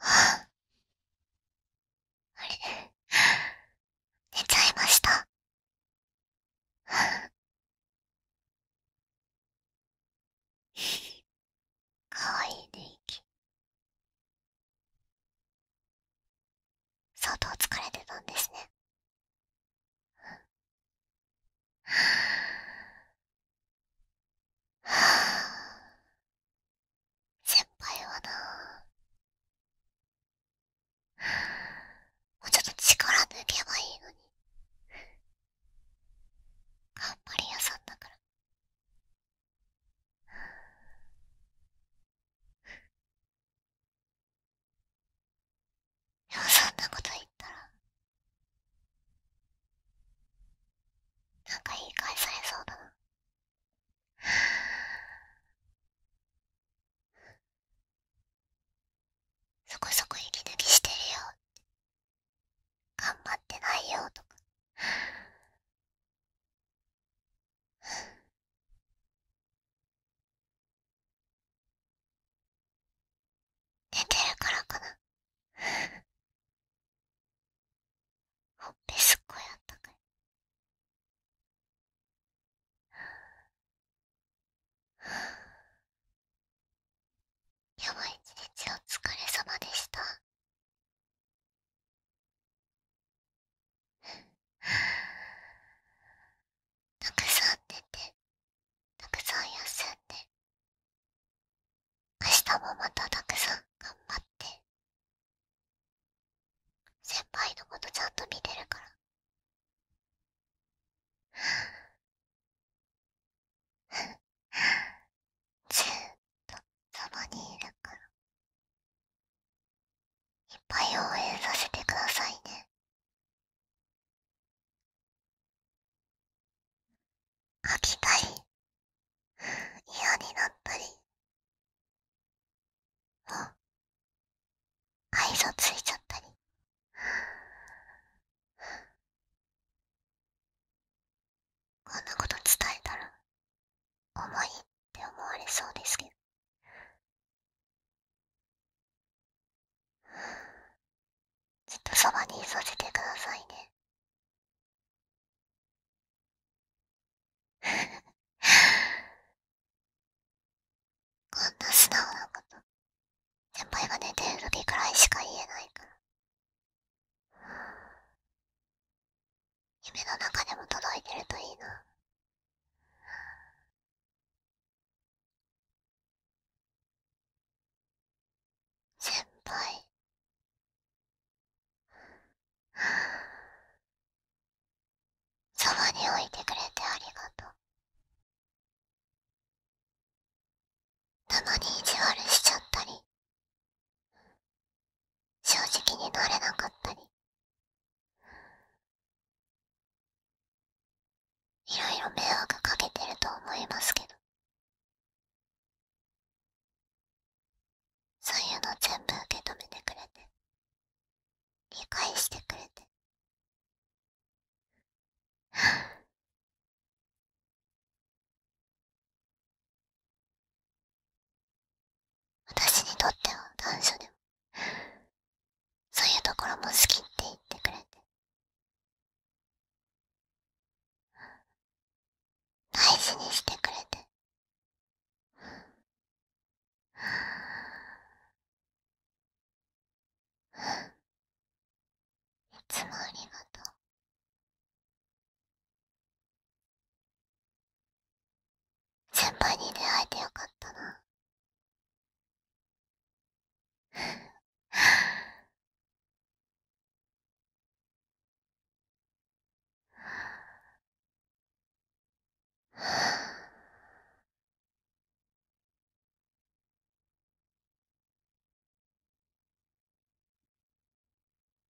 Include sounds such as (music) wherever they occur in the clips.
あれ、寝ちゃいました。かわいいね、息。相当疲れてたんですね。は先輩はなもうちょっと力抜けばいいのに頑張り屋さんだからでもそんなこと言って…いっらなんか言い返されそうだなそこそこ息抜きしてるよ頑張ってないよとか。寝てるからかなほっぺすっごいあったかいやばい一日お疲れ様でしたたくさん寝てたくさん休んで明日もまたたくさん頑張って先輩のことちゃんと見てるからずっとそばにいるからいっぱい応援させてくださいね飽きたい。嫌になったりあ愛想ついちゃったりこんなこと伝えたら重いって思われそうですけどずっとそばにいさせてくださいね (laughs) こんな素直なこと先輩が寝てる時くらいしか言えないから夢の中でも届いてるといいな先輩そばに置いてくれてありがとうたまに意地悪しちゃったり正直になれなかったりいろいろ迷惑かけてると思いますけどそういうの全部受け止めてくれて理解してくれて (laughs) 私にとっては短所でもそういうところも好きって言ってくれて大事にしてくれていつもありがとう先輩に出会えてよかったなはは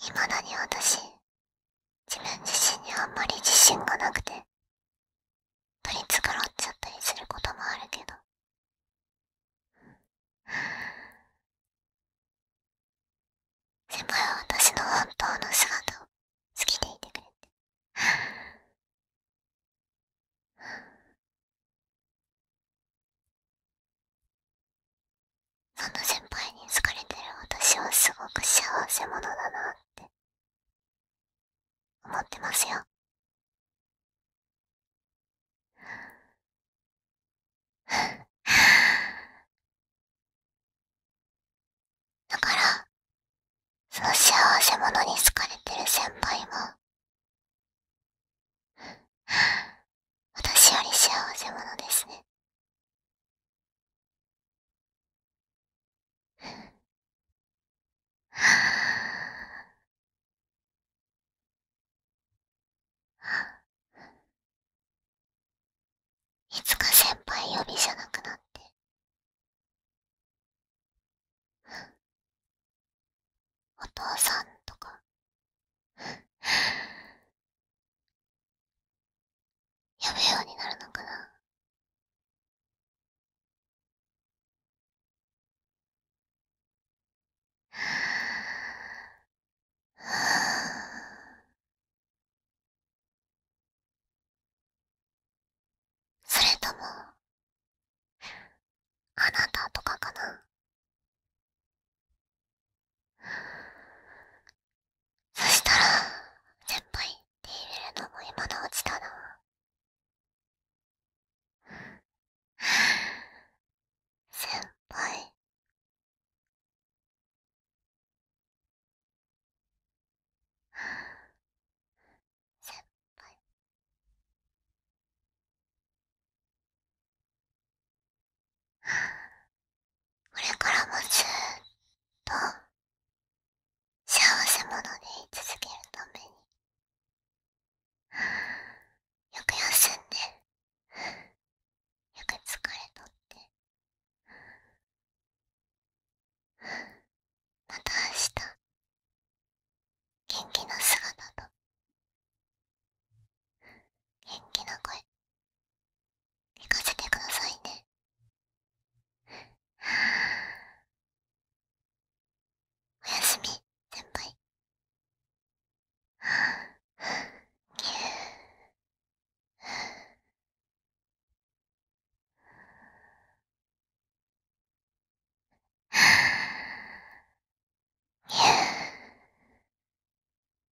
いまだに私自分自身にあんまり自信がなくて取り繕っちゃったりすることもあるけど先輩は私の本当の姿を好きでいてくれてそんな先輩に好かれてる私はすごく幸せ者だなって思ってますよ。だから、その幸せ者に好かれてる先輩も、私より幸せ者ですね。いつか先輩呼びじゃなくなってお父さんとかやべようになるのかなそれともあなたとかかなそしたら、先輩手入れるのも今のうちだな。先輩。先輩。これからもずーっと幸せ者でい続けるために (sighs) よく休んで (sighs) よく疲れとって (sighs) また明日元気な姿と元気な声寝かせてくださいね。(sighs) おやすみ、先輩。(sighs)